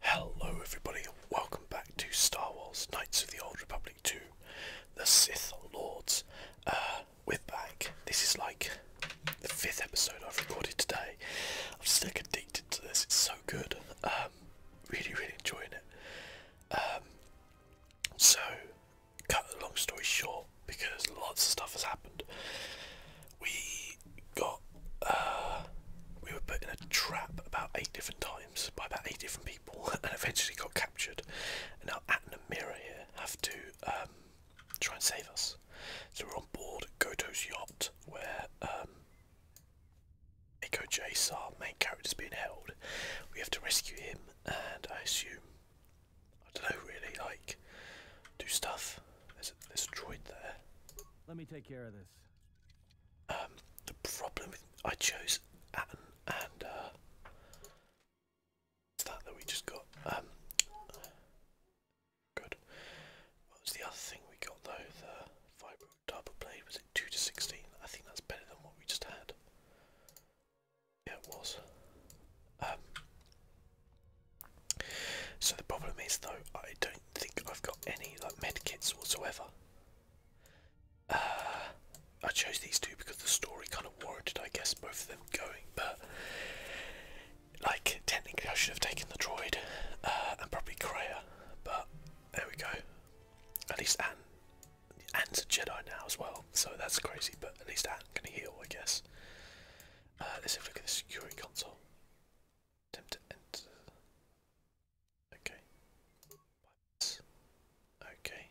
Hello everybody welcome back to Star Wars Knights of the Old Republic 2, the Sith Lords. Uh, we're back. This is like the fifth episode I've recorded today. I'm still like, addicted to this, it's so good. Um, really, really enjoying it. Um, so, cut the long story short, because lots of stuff has happened. We we got uh, we were put in a trap about eight different times by about eight different people, and eventually got captured. And now At and Amira here have to um, try and save us. So we're on board Goto's yacht, where um, Echo Jace, our main character, is being held. We have to rescue him, and I assume I don't know really like do stuff. there's a droid there. Let me take care of this. Um, the problem with I chose and uh, that that we just got? Um, good. What was the other thing we got though? The fibre double blade was it two to sixteen? I think that's better than what we just had. Yeah, it was. Um, so the problem is though I don't do think I've got any like med kits whatsoever. Uh, I chose these two because the story kind of warranted, I guess, both of them going. But like, technically, I should have taken the droid uh, and probably Kreia. But there we go. At least Anne, Anne's a Jedi now as well, so that's crazy. But at least Anne can heal, I guess. Uh, let's have a look at the security console. Attempt to enter. Okay. okay.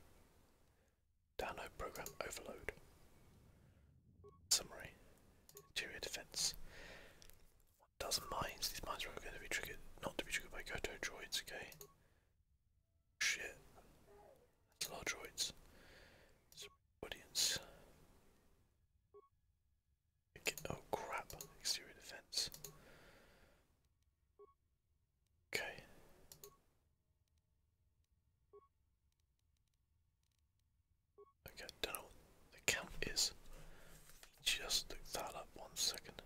Download program overload. Summary. Interior defense. One dozen mines. These mines are going to be triggered, by Goto droids, okay? Shit. That's droids. audience. Oh crap, exterior defense. Okay. Okay, don't know what the count is. Just look that up one second.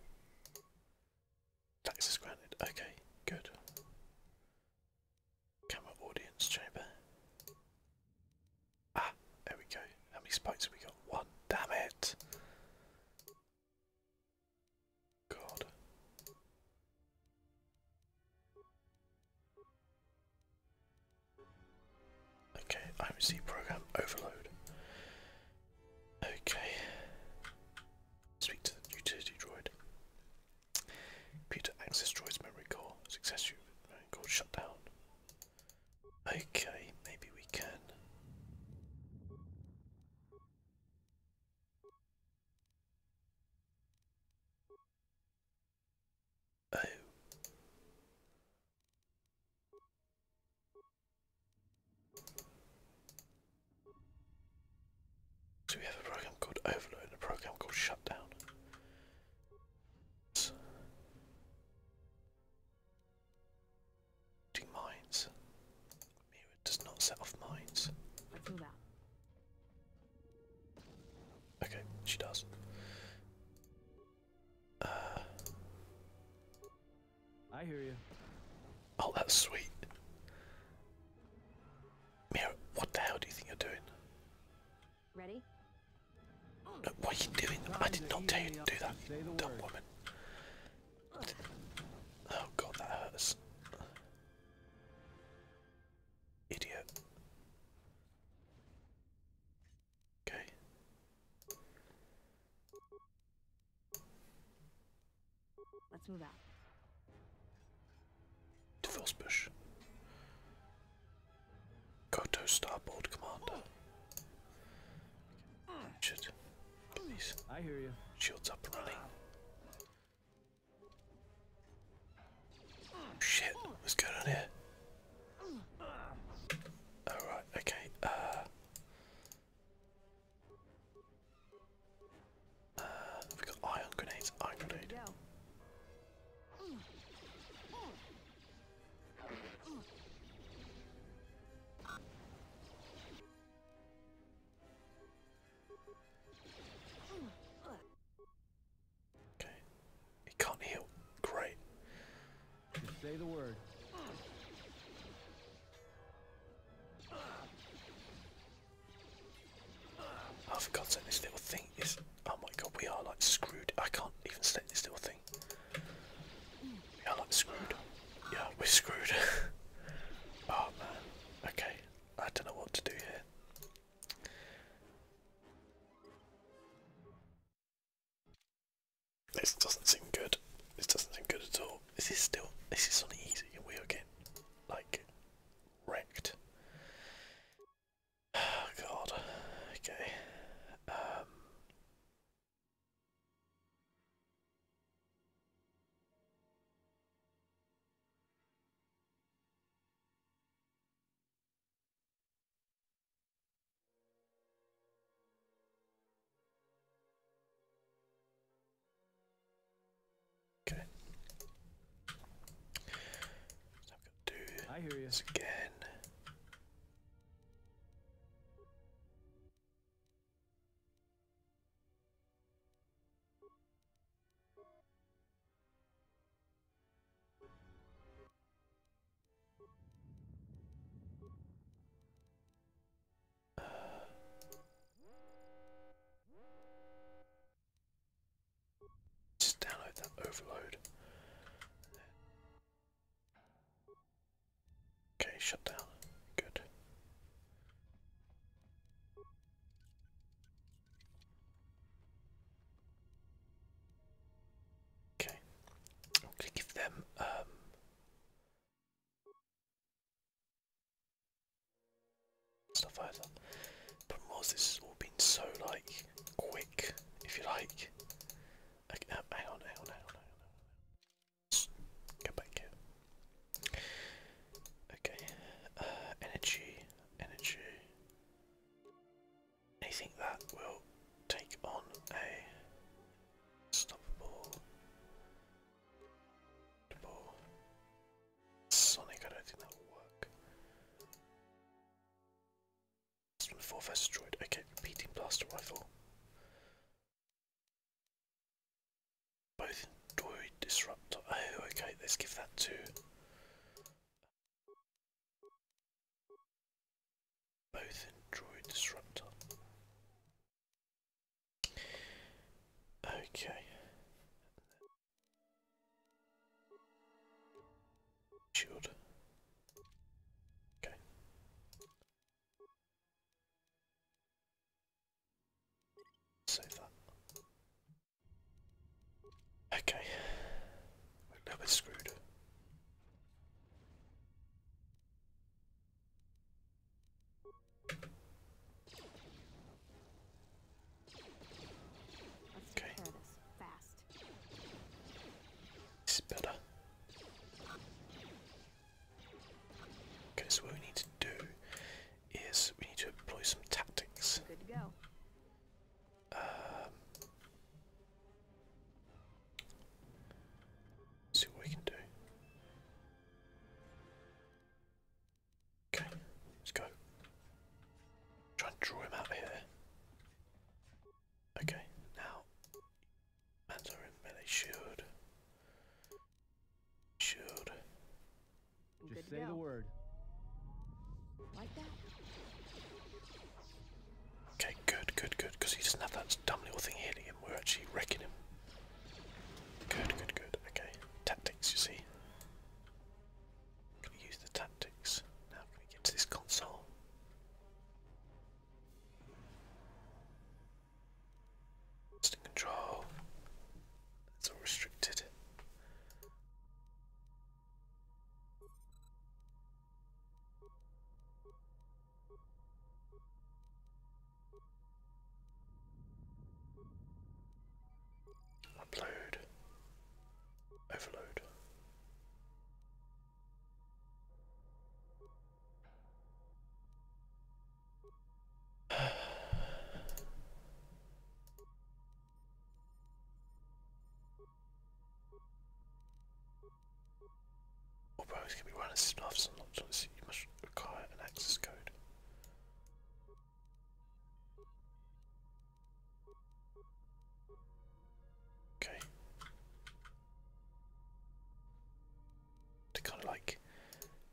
Taxes granted. Okay, good. Camera audience chamber. Ah, there we go. How many spikes have we got? One. Damn it! God. Okay, IMC program overload. Okay. Speak to the utility droid. Computer access droid's memory core. Success memory core shut Okay, maybe we can. Oh. So we have a program called Overload a program called Shutdown. Do mines. Mira does not set off mines. I Move that. Okay, she does. Uh, I hear you. Oh, that's sweet. Mira, what the hell do you think you're doing? Ready? what are you doing? I did not tell you to do that, you dumb woman. Oh god, that hurts. Idiot. Okay. Let's move out. To Felsbush. Goto starboard commander. Should get I hear you. shields up and running. Shit, what's going on here? Alright, okay, uh uh, got iron grenades, iron grenade. Okay. It can't heal. Great. say the word. Oh, for God's this little thing is. Oh my God, we are like screwed. I can't even step this little thing anything. We are screwed. Yeah, we're screwed. oh man. Okay. I don't know what to do here. This doesn't seem good. This doesn't seem good at all. This is still this is on easy we are getting like wrecked. Oh god. Okay. Um Okay. So I'm gonna do I hear you. this again. Just download that overload. Okay, shut down. Good. Okay. give them um, stuff either. Problem was this has all been so like quick, if you like. Okay, uh, hang on, hang on, hang on, hang on. Go back here. Okay. Uh, energy, energy. Anything that will take on a stoppable, Sonic. I don't think that will work. Four first destroyed. Okay, repeating blaster rifle. Both Dory Disruptor. Oh, okay, let's give that to. Both Droid Disruptor. Okay. Shield. Okay. Save that. Okay. We're a bit screwed. Okay. Fast. better. Okay, so what we need to do is we need to employ some tactics. Good to go. Um, see what we can do. Okay, let's go. Try and draw him out here. Okay, now Mans Just say the word. Like that. Okay, good, good, good. Because he doesn't have that dumb little thing hitting him. We're actually wrecking him. Good, good, good. Okay. Tactics, you see. Can we use the tactics? Now can we get to this console? Lost in control. That's all restricted. Upload. Overload. All can be run snuffs and not you must require an access code. Okay to kind of like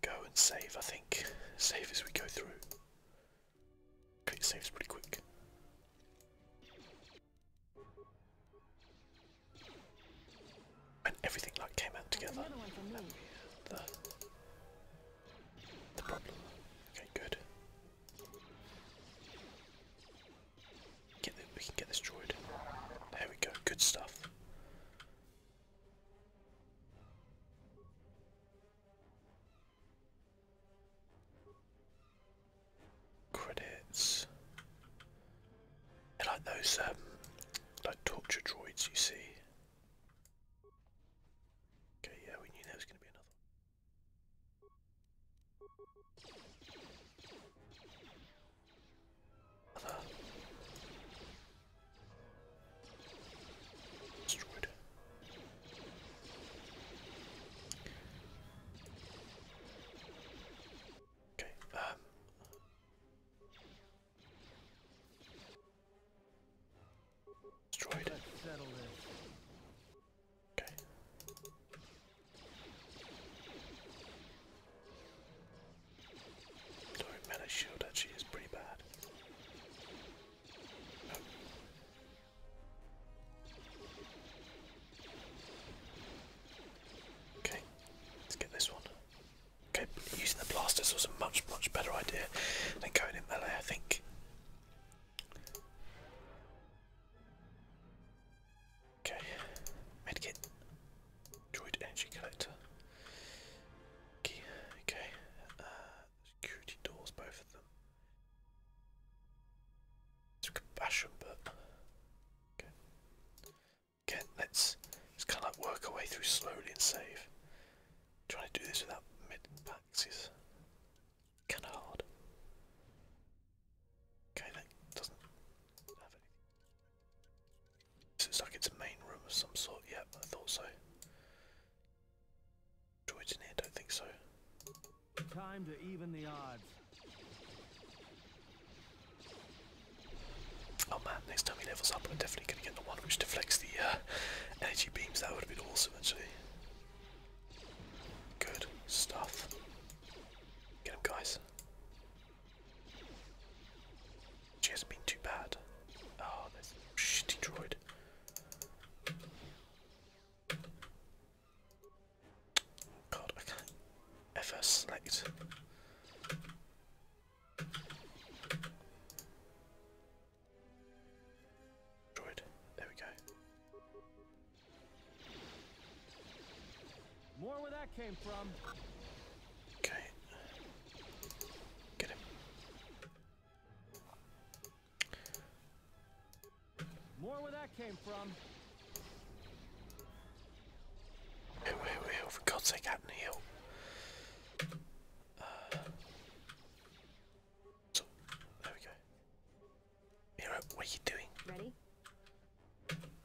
go and save, I think. Save as we go through. Click saves pretty quick. And everything like came out together. the problem. Okay, good we can get this droid. There we go. Good stuff. Credits. like those um, like torture droids you see. Okay, yeah, we knew there was going to be another. Another destroyed. Okay, um destroyed. Let's settle this. Okay. Sorry, mana shield actually is pretty bad. Oh. Okay, let's get this one. Okay, using the blasters was a much, much better idea than going in melee, I think. Okay, medkit, droid energy collector, key, okay, uh, security doors, both of them. It's compassion, but okay. Again, let's just kind of work our way through slowly and save. Trying to do this without mid packs is kind of hard. Okay, that doesn't have anything. This is like it's a main room of some sort. Yep, I thought so. Droids in Don't think so. Time to even the odds. Oh man, next time he levels up, I'm definitely going to get the one which deflects the uh, energy beams. That would have been awesome, actually. Good stuff. Get him, guys. She hasn't been too bad. Oh, this shitty droid. God, I can select. Droid, there we go. More where that came from. Okay. Get him. More where that came from. Who, oh, for God's sake, out and heal. Uh, so, there we go. Hero, what are you doing? Ready?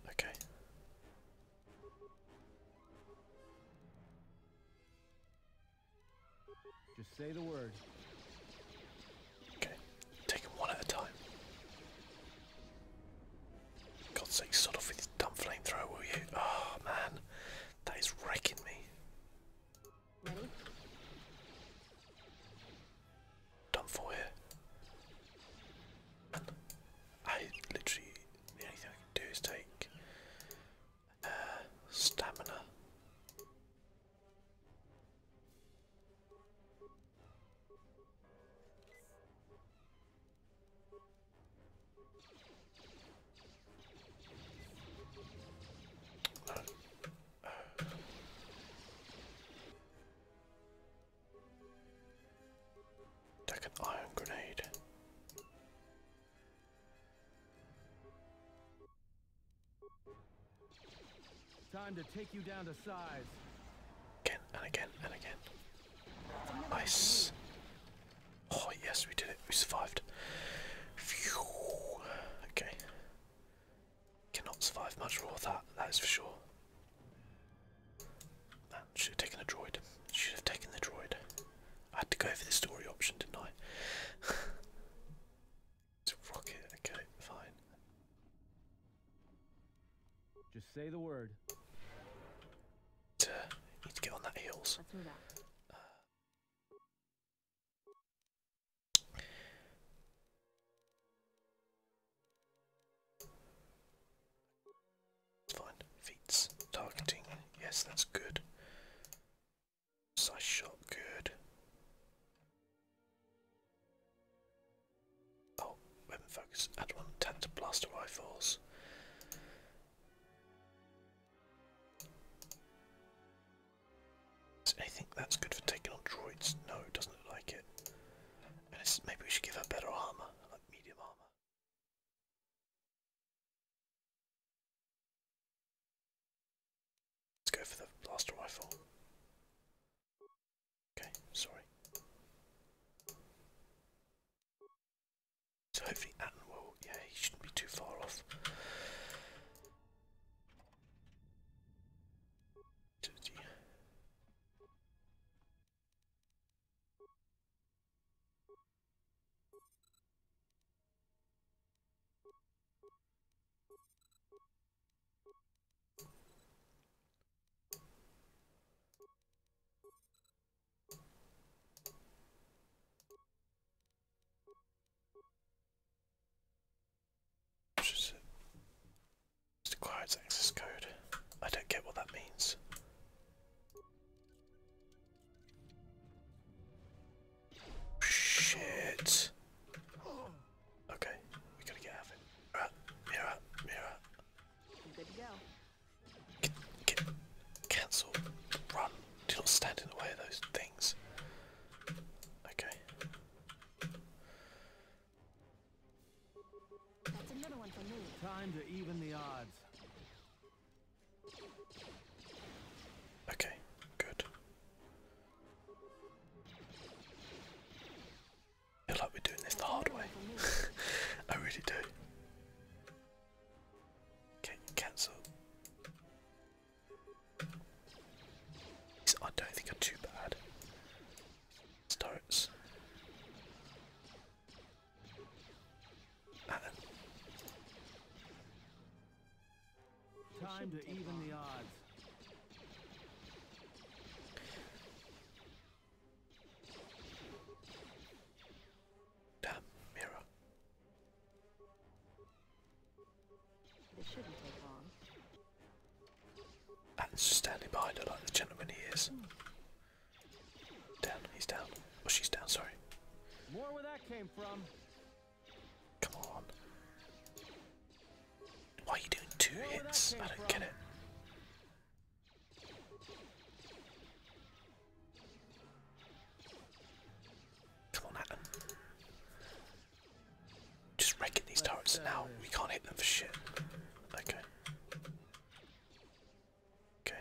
Okay. Just say the word. Okay, take one at a time. God's sake, shut off with your dumb flamethrower, will you? Oh man, that is wrecking me. Ready? for here. I literally, the only thing I can do is take uh, stamina. Like an iron grenade. Time to take you down to size. Again and again and again. Nice. Oh yes, we did it. We survived. Phew. Okay. Cannot survive much more of that, that is for sure should have taken the droid. Should have taken the droid. I had to go for the story option, didn't I? it's rocket. Okay, fine. Just say the word. need to get on that heels. Uh, fine. Feats. Targeting. Yes, that's good. Size shot. Good. Oh, weapon focus. Add one. to blaster rifles. Is anything that's good for taking on droids? No, it doesn't look like it. maybe we should give her better armor, like medium armor. Let's go for the blaster rifle. Okay, sorry. So hopefully Atten will, yeah, he shouldn't be too far off. Requires access code. I don't get what that means. Shit. Okay, we gotta get out mirror, mirror. good to go. cancel, run. Do not stand in the way of those things. Okay. Time to even the odds. Okay, good. I feel like we're doing this the hard way. I really do. Okay, cancel. I don't think are too bad. Starts. Time to even the odds. Damn mirror. This shouldn't take long. And standing behind like the gentleman he is. Hmm. Down, he's down. Oh, she's down, sorry. Come on. Why are you doing two hits? I don't get it. Come on, Adam. Just wrecking these turrets now. We can't hit them for shit. Okay. Okay.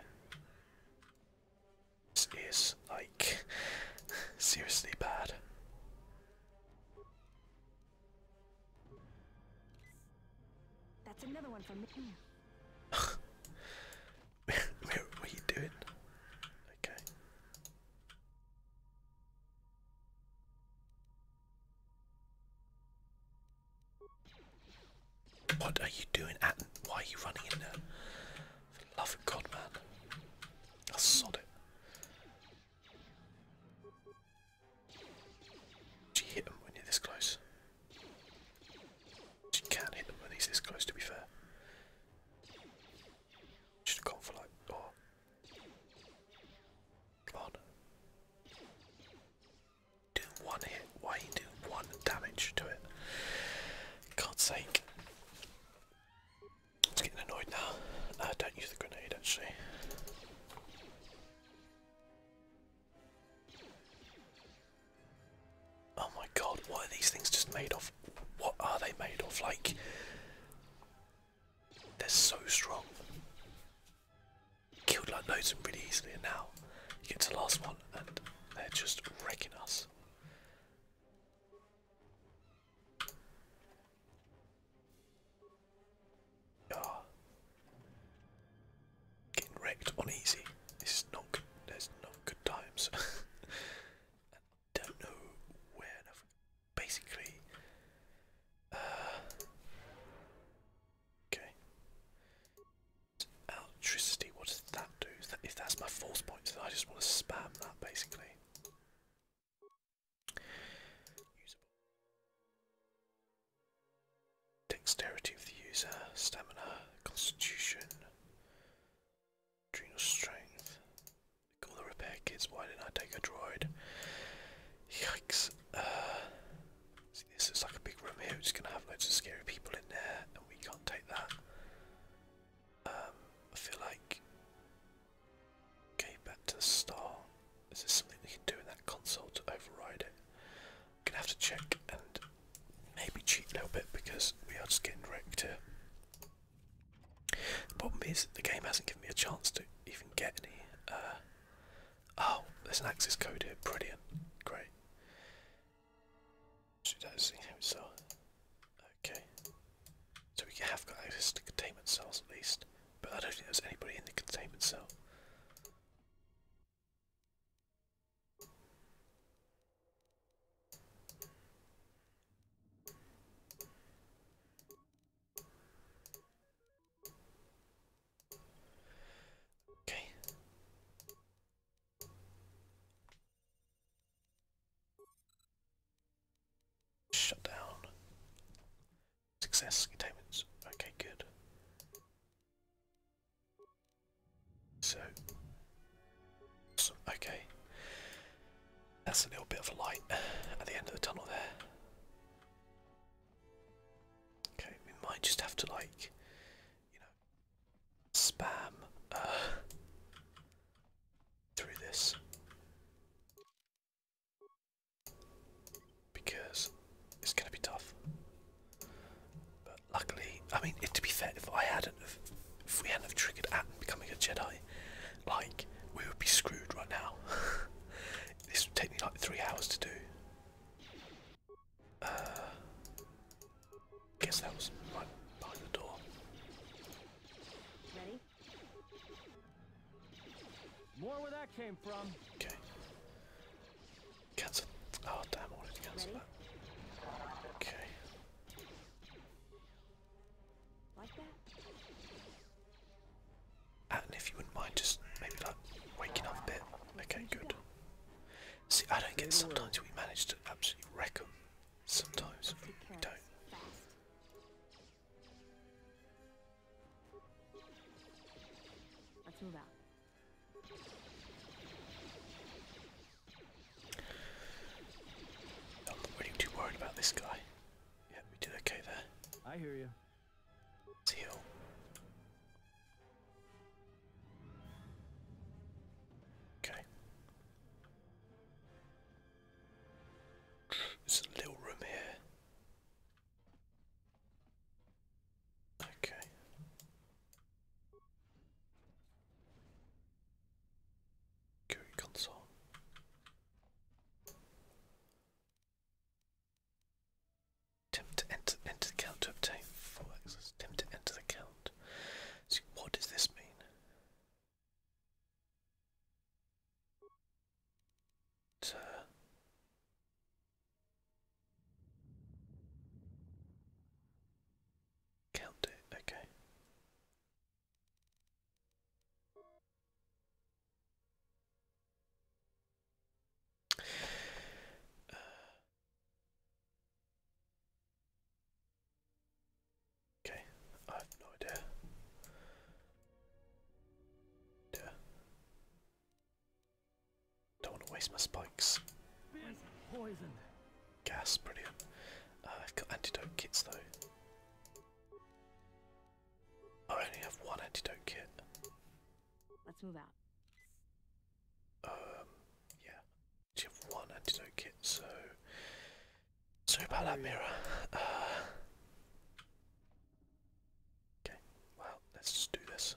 This is like seriously bad. That's another one from the camera. Where are you doing? Okay. What are you doing, at? Why are you running in there? For the love of God, man. I sod it. She hit him when you this close? You can't hit them when he's this close, to be fair. Should have gone for like. Oh. Come on do one hit, why you do one damage to it. God's sake. It's getting annoyed now. I don't use the grenade actually. Oh my god, what are these things just made of? What are they made of? Like, they're so strong. Killed like loads and really easily, and now you get the last one and they're just wrecking us. Yeah. Getting wrecked on easy. This is not There's not good times. I don't know where. Basically. Uh, okay. Electricity, what does that do? If that's my force point, I just want to spam that basically. Dexterity of the user, stamina, constitution, adrenal strength. All the repair kits, why didn't I take a droid? Yikes. Uh, this. It's like a big room here. It's gonna have loads of scary people in there, and we can't take that. Um, I feel like. Okay, back to the star. Is there something we can do in that console to override it? I'm gonna have to check and maybe cheat a little bit because we are just getting wrecked here. The problem is the game hasn't given me a chance to even get any. Uh, oh, there's an access code here. Brilliant, great. Shoot, I see hope so. Okay. So we have got access to containment cells at least. But I don't think there's anybody in the containment cell. Okay. Shut down. Success, containments. Okay, good. So, okay. That's a little bit of light at the end of the tunnel there. Okay, we might just have to like, you know, spam through this because it's going to be tough. But luckily, I mean, to be fair, if I hadn't, if we hadn't have triggered Atten becoming a Jedi, like we would be screwed right now. this would take me like three hours to do. Uh, guess that was right behind the door. Ready? More where that came from. Okay. Cancel. Oh damn! wanted to cancel Okay. Like that. And if you wouldn't mind just maybe like waking up bit. Okay, good. See, I don't get. Sometimes we manage to absolutely wreck them. Sometimes we don't. Let's move out. I'm not really too worried about this guy. Yeah, we did okay there. I hear you. let Okay. There's a little room here. Okay. Go console. Attempt to enter, enter the count to obtain full access. Attempt to enter the count so what does this mean? count it, okay. Uh, Okay, I have no idea. Yeah. Don't want to waste my spikes. Gas, brilliant. I've uh, got antidote kits though. I only have one antidote kit. Let's move out. Um, yeah, you have one antidote kit, so sorry about that mirror. Uh, okay, well, let's just do this.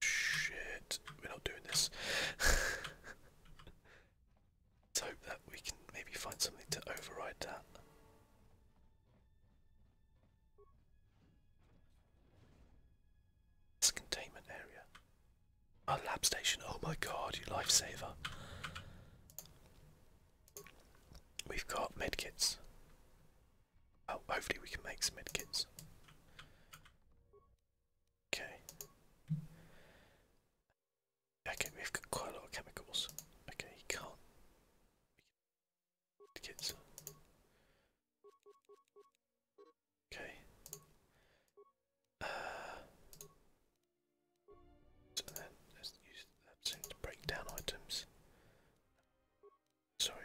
Shit, we're not doing this. let's hope that we can maybe find something to override that. It's a containment area. A lab station. Oh my god, you lifesaver. We've got medkits. Oh, hopefully we can make some medkits. Okay. Okay, we've got quite a lot of chemicals. Okay, you can't. Okay. Uh, then let's use that soon to break down items. Sorry.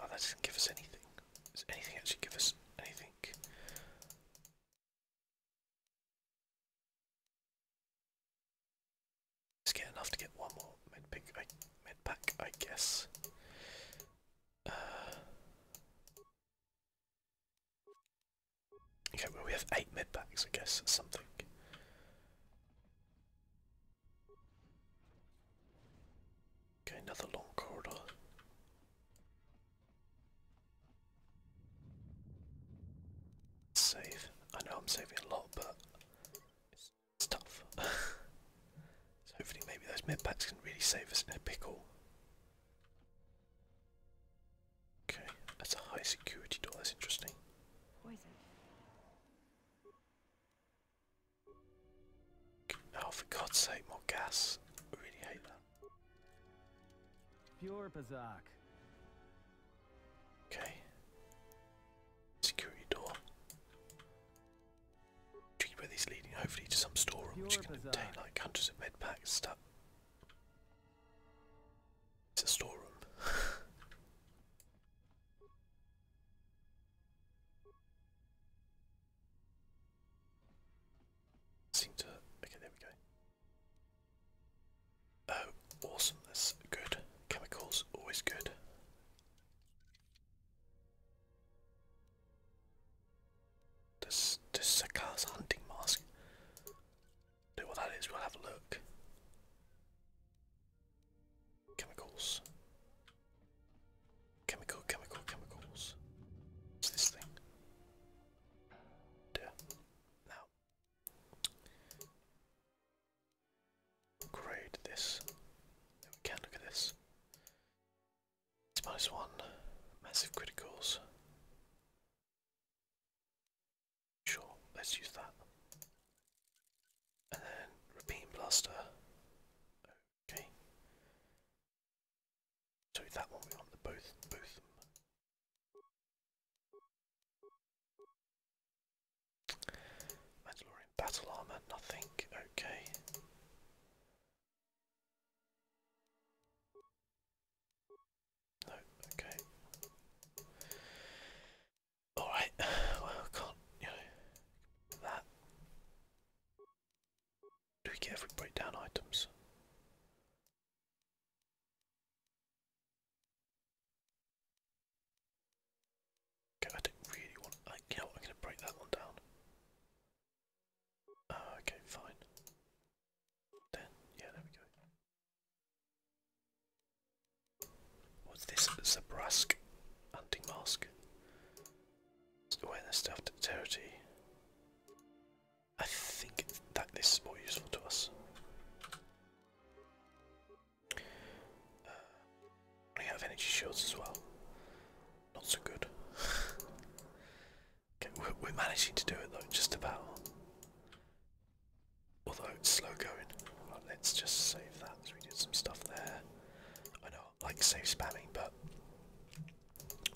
Oh, that doesn't give us anything. Does anything actually give us anything? let get enough to get one more med pick I med I guess. Uh, okay, well we have eight med packs, I guess, something. Okay, another long corridor. Save. I know I'm saving a lot, but it's, tough. hopefully maybe those med packs can really save us in a pickle. Okay, that's a high security door, that's interesting. Poison. Oh, for God's sake, more gas. I really hate that. Pure Pazak. Okay. Security door. where these leading hopefully to some storeroom which can contain like hundreds of med packs stuff. It's a storeroom seem to. Okay, there we go. Oh, awesome! That's good. Chemicals always good. This this is a car's hunting mask. Do what that is? We'll have a look. Chemicals. Chemical, chemical, chemicals. What's this thing? Now, grade this. can look at this. It's minus one, massive criticals. Sure, let's use that. And then repeat blaster. Okay. So that one we want the both both Mandalorian battle armor, nothing. Okay. No, okay. Alright, well, can't, you that. Do we get every breakdown items? Okay, I didn't really want. I, know I'm going to break that one down. Uh, okay, fine. Then, yeah, there we go. What's this? Zabrask hunting mask. Awareness staff dexterity. I think that this is more useful to us. we uh, have energy shields as well. Not so good. we're, managing to do it though, just about. Although it's slow going. let's just save that. we did some stuff there. I know like save spamming, but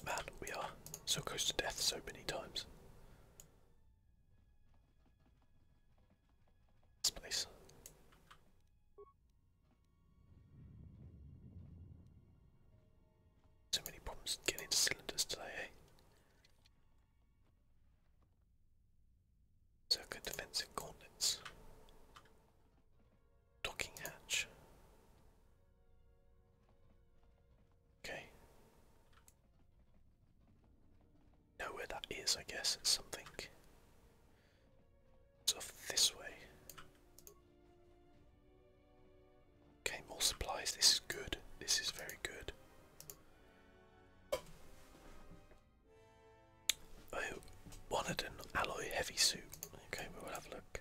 Man, we are so close to death so many times. This place. So many problems getting into cylinders today, eh? defensive coordinates. Docking hatch. Okay. Know where that is, I guess. It's something. It's this way. Okay, more supplies. This is good. This is very good. I wanted an alloy heavy suit. Okay, we will have a look.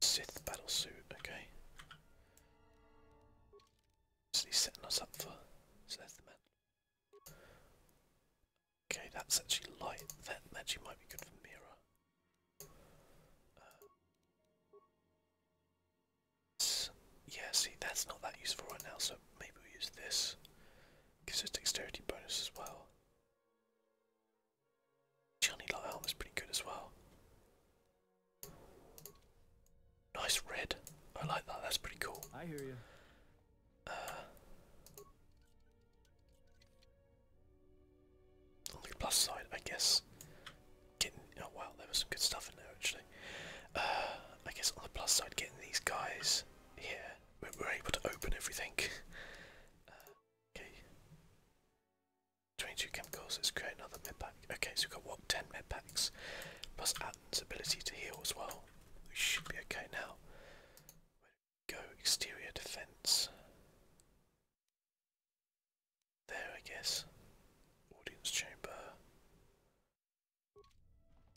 Sith battle suit, okay. So he's setting us up for so there's the man. Okay, that's actually light. That magic might be good for mirror. Uh, yeah, see, that's not that useful right now, so maybe we use this. Gives us dexterity bonus as well. Johnny Lyle was pretty good as well. Nice red. I like that. That's pretty cool. I hear you. Uh, on the plus side, I guess. Getting oh wow, there was some good stuff in there actually. Uh, I guess on the plus side, getting these guys here, we're able to open everything uh, okay. 22 chemicals, let's create another med pack. Okay, so we've got what? 10 med packs. Plus Atten's ability to heal as well. We should be okay now. Go exterior defense. There, I guess. Audience chamber.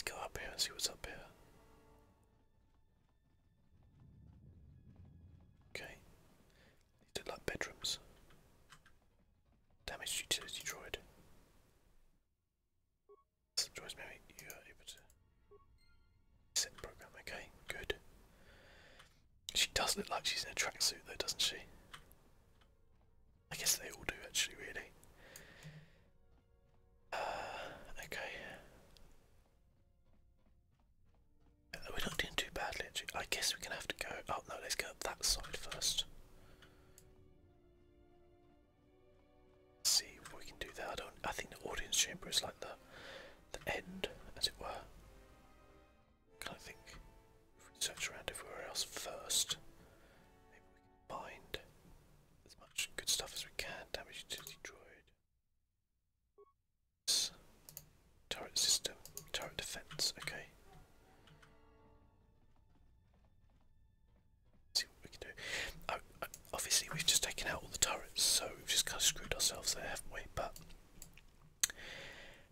Go up here and see what's up here. Okay. These look like bedrooms. Damaged utility droid. This droid's you are able to set program. Okay, good. She does look like she's in a tracksuit though, doesn't she? I guess they all do actually, really. Uh, okay. We're not doing too badly actually. I guess we're gonna have to go oh no, let's go up that side 1st see if we can do that. I don't I think the audience chamber is like the the end, as it were. Can I think if we search around everywhere else first? Maybe we can find as much good stuff as we can. Damage utility droid. Turret system, turret defense, okay. see what we can do. Oh, uh, obviously, we've just taken out all the turrets, so we've just kind of screwed ourselves there, haven't we? But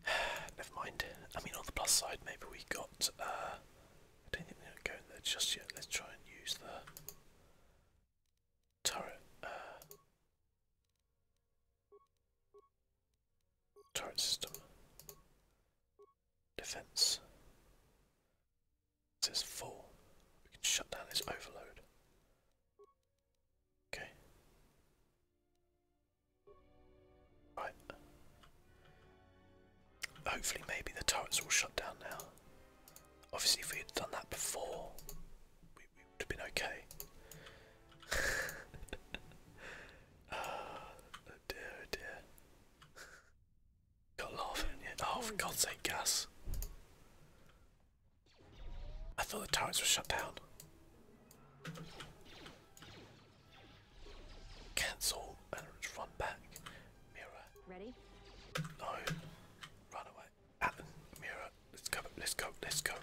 never mind. I mean, on the plus side, maybe we got. Uh, I don't think we're going to go in there just yet. Let's try and use the turret uh, turret system defense it says full we can shut down this overload okay right hopefully maybe the turrets will shut down now obviously if we had done that before we we would have been okay. uh, dear, oh dear. Got laughing Oh, for God's sake, gas. I thought the turrets were shut down. Cancel and run back. Mirror. Ready? No. Run away right, Mira, let's go, let's go, let's go.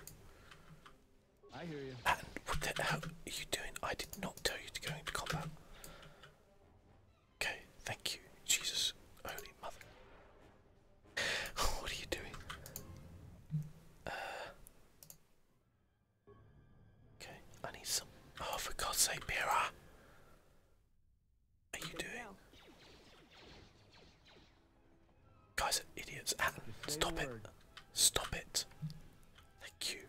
I hear you. Alan, what the hell are you doing? I did not tell you to go into combat. Okay, thank you, Jesus, holy mother. what are you doing? Uh, okay, I need some. Oh, for God's sake, Mira! are you doing? Guys are idiots. Ah, stop it. Stop it. Thank you.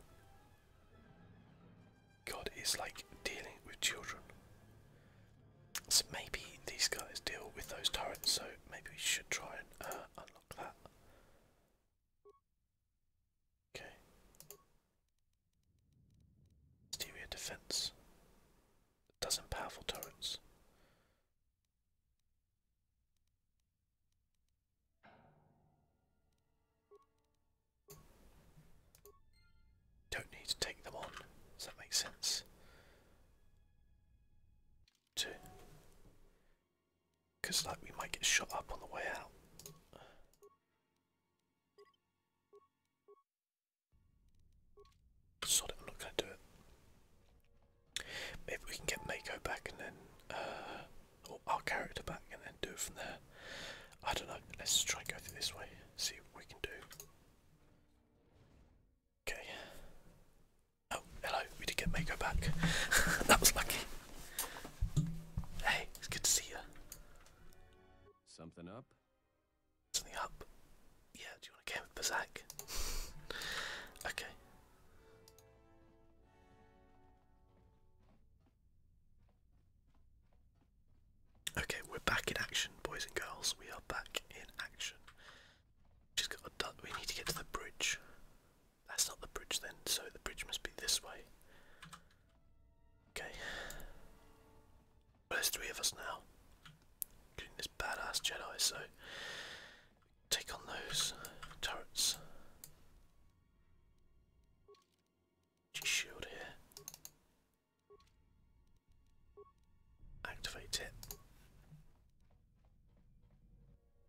God is like dealing with children. So maybe these guys deal with those turrets, so maybe we should try and uh, unlock that. Okay. Exterior defense. A dozen powerful torrents. Don't need to take them on. Does that make sense? Two. Because, like, we might get shot up on the way out. Sod I'm not going to do it. Maybe we can get Mako back and then, uh, our character back and then do it from there. I don't know, let's try and go through this way, see what we can do. Okay. Oh, hello, we did get Mako back. that was lucky. Hey, it's good to see you. Something up? Something up. Yeah, do you want to game with Berserk? okay. Okay, we're back in action, boys and girls. We are back in action. We need to get to the bridge. That's not the bridge then, so the bridge must be this way. Okay there's three of us now, including this badass Jedi, so take on those turrets. Shield here. Activate it.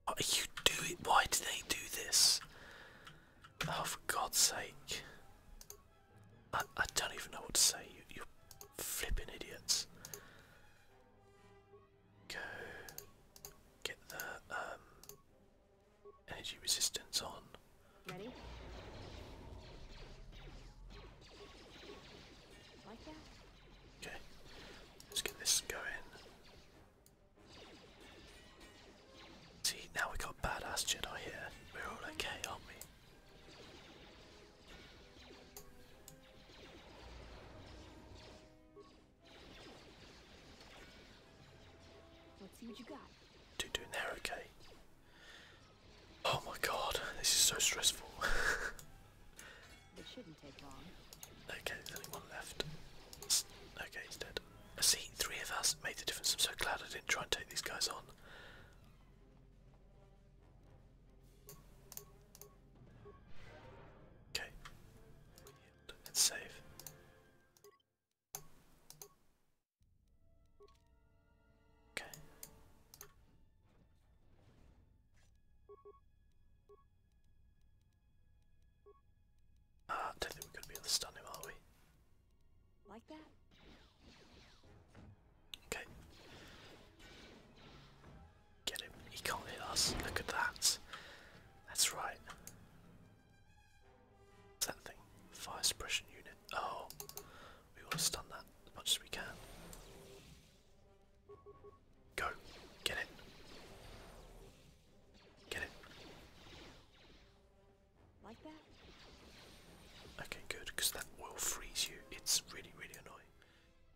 What oh, are you doing? Why do they do this? Oh, for God's sake. I, I don't even know what to say. You, you Flipping idiots. Go get the um, energy resistance on. Ready? Like that? Okay, let's get this going. See, now we got badass Jedi here. We're all okay, aren't we? Let's see what you got. Do doing there, okay? Oh my god, this is so stressful. it shouldn't take long. Okay, there's only one left. Okay, he's dead. I see, three of us made the difference. I'm so glad I didn't try and take these guys on. Okay. save. Okay. Ah, don't think we're gonna be able to stun him, are we? Like that? Okay. Get him. He can't hit us. Look at that. That's right. What's that thing? Fire suppression unit. Oh. We want to stun that as much as we can. Go. Get it. Get it. Like that? Okay, good, because that will freeze you. It's really, really annoying.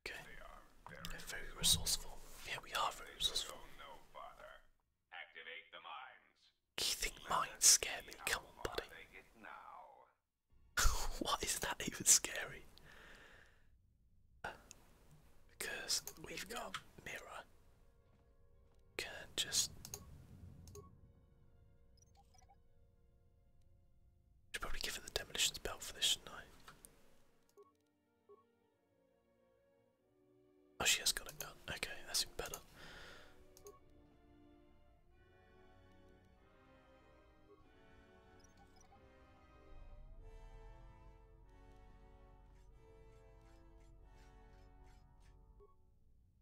Okay. They're very resourceful. Yeah, we are very resourceful. You mines scare Come on, buddy. what is that even scary? because we've got mirror. Can just. Should probably give it the demolitions belt for this, shouldn't I? Oh, she has got a gun. Okay, that's even better.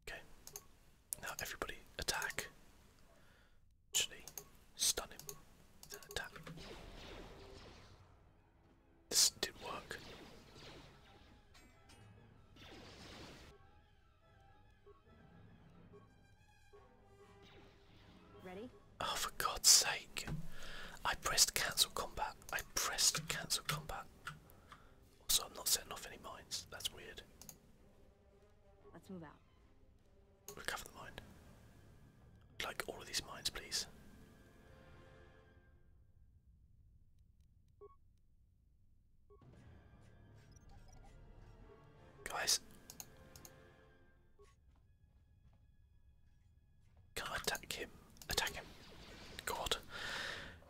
Okay. Now everybody attack. Actually, stun him attack. This didn't work. Ready? Oh, for God's sake. I pressed cancel combat. I pressed cancel combat. Also, I'm not setting off any mines. That's weird. Let's move out. Recover the mine. I'd like all of these mines, please. Guys. Can I attack him? Attack him. God.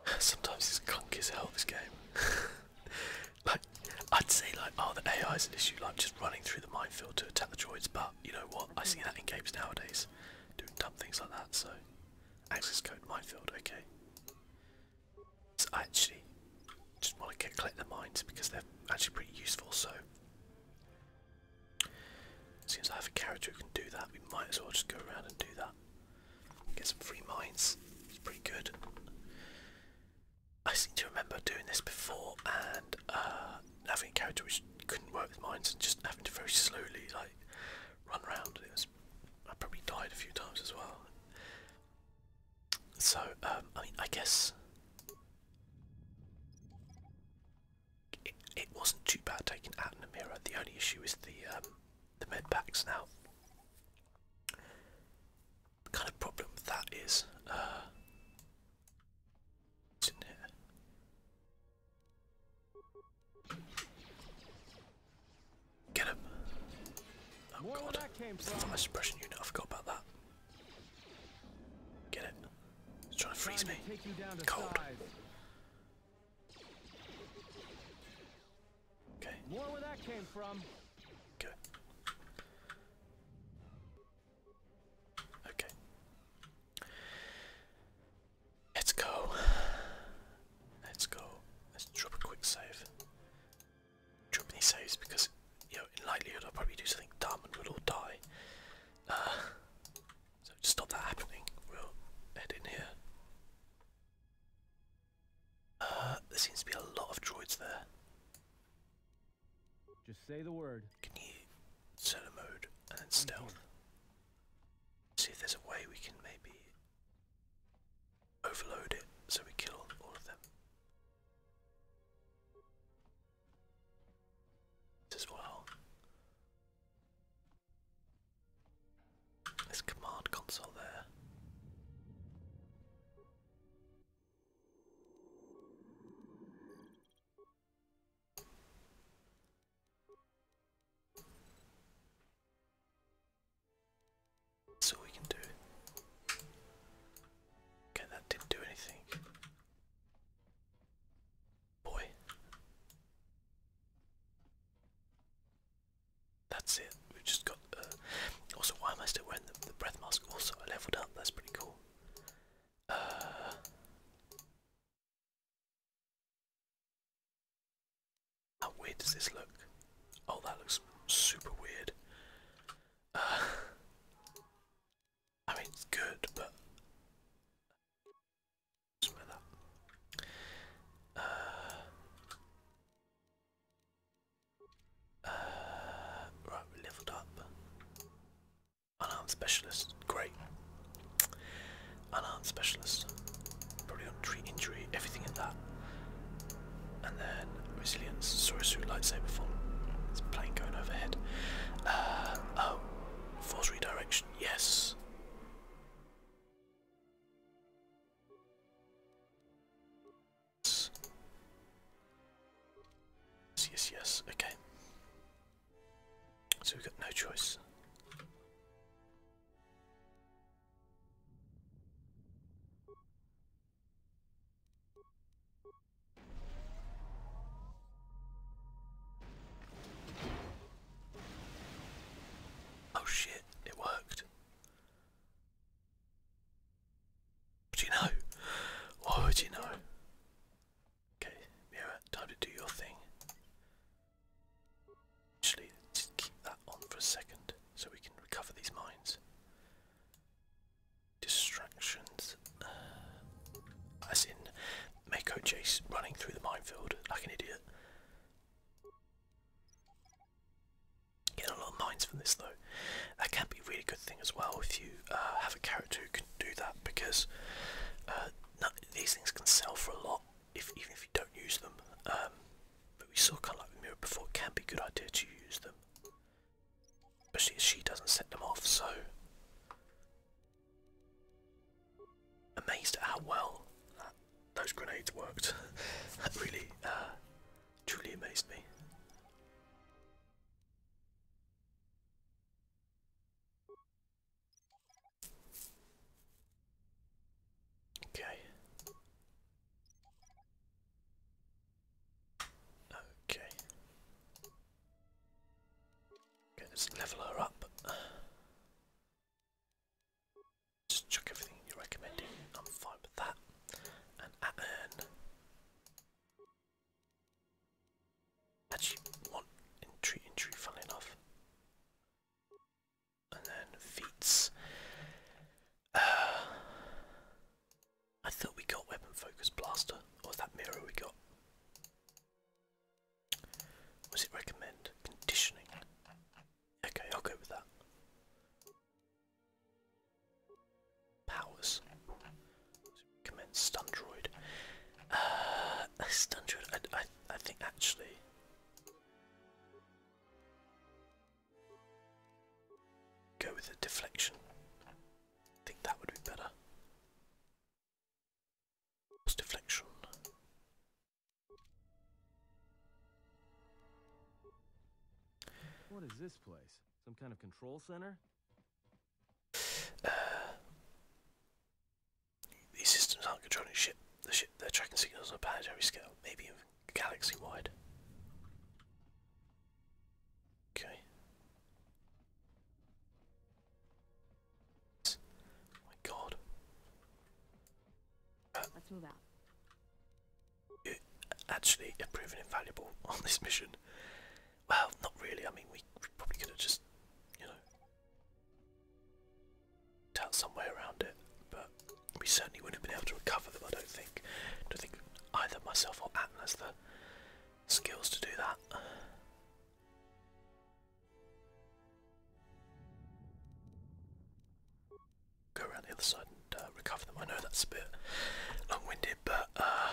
Sometimes it's clunky as hell this game. like I'd say like oh the AI is an issue, like just running through the minefield to attack the droids, but you know what? I see that in games nowadays, doing dumb things like that. So, access code minefield. Okay. I actually just want to collect the mines because they're actually pretty useful. So, seems I have a character who can do that. We might as well just go around and do that. Get some free mines. It's pretty good. I seem to remember doing this before and uh, having a character which couldn't work with mines and just having to very slowly like run around. I probably died a few times as well. So um, I mean I guess it, it wasn't too bad taking out in the mirror. The only issue is the um, the med packs now. The kind of problem with that is. Uh, it's in there. Get him. Oh god. I was brushing you I forgot about that. Get it. It's trying to freeze me. Cold. Okay. More where that came from. Okay. Okay. Let's go. Let's go. Let's drop a quick save. Drop any saves because, you in likelihood I'll probably do something dumb and we'll all die. Uh, so to stop that happening, we'll head in here. Uh, there seems to be a lot of droids there. Just say the word. Can you set a mode and stealth? See if there's a way we can maybe overload it so we kill all of them. As well, this command console there. That's we can do. Okay, that didn't do anything. Boy. That's it. We've just got. Uh, also, why am I still wearing the, the breath mask? Also, I leveled up. That's pretty cool how weird does this look? Oh, that looks super weird. Uh, I mean, it's good, but. Something like that. Uh, uh, right, leveled up. Unarmed specialist, great. Unarmed specialist, probably on treat injury, everything in that. And then resilience, Sorisu lightsaber form. It's a plane going overhead. Uh, oh, force redirection, yes. Yes, yes, okay. So we've got no choice. Oh shit, it worked. But you know? Why would you know? Okay, Mira, time to do your thing. Actually, just keep that on for a second so we can recover these mines. Distractions. Uh, as in, Mako Chase running through the minefield like an idiot. Getting a lot of mines from this though. That can be a really good thing as well if you uh, have a character who can do that because uh, these things can sell for a lot, if even if you don't use them. Um, but we saw kind of like the mirror before, it can be a good idea to use them, but she doesn't set them off. So amazed at how well those grenades worked. that really, uh, truly amazed me. Okay. Okay. let's level her up. Just chuck everything you're recommending. I'm fine with that. And at earn. Actually, one entry, entry, funnily enough. And then feats. Uh, I thought we got weapon focus blaster, or that mirror we got? Was it recommend conditioning? Okay, I'll go with that. Powers commence stun droid. Uh, stun droid. I, I, I think actually. Go with the deflection. I think that would be better. deflection. What is this place? Some kind of control center? Uh, these systems aren't controlling ship. The ship they're tracking signals on planetary scale, maybe galaxy wide. Okay. my God. Let's move out. actually have invaluable on this mission. Well, not really. I mean, we, probably could have just, you know, out some way around it, but we certainly wouldn't have been able to recover them. I don't think. don't think either myself or Atlas the skills to do that. Go around the other side and uh, recover them. I know that's a bit long-winded, but uh,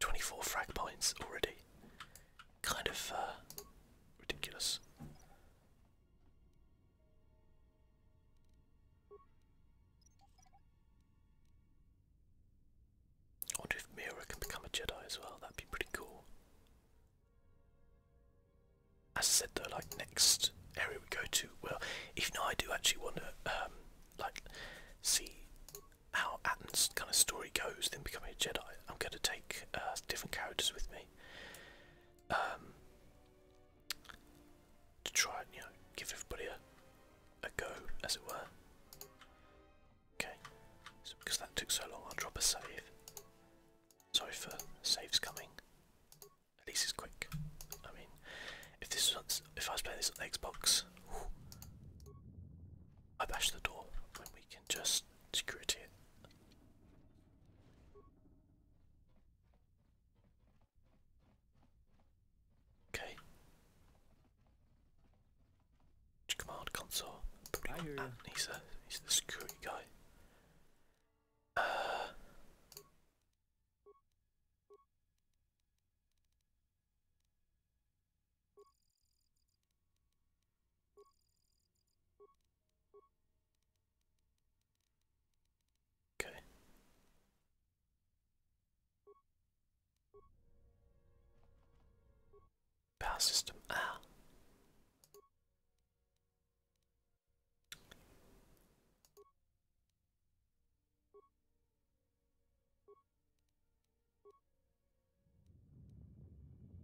24 frag points already. Kind of uh, ridiculous. I wonder if Mira can become a Jedi as well, that'd be pretty cool. As I said though, like next area we go to, well, even though I do actually want to um, like see how Atten's kind of story goes, then becoming a Jedi, I'm going to take uh, different characters with me um, to try and you know give everybody a a go, as it were. Okay, so because that took so long, I'll drop a save. Sorry for saves coming. At least it's quick. I mean, if this was if I was playing this on Xbox, I bash the door when we can just security it. Okay. Command console. Probably not He's the security guy. Uh, Okay. Power system. Ah.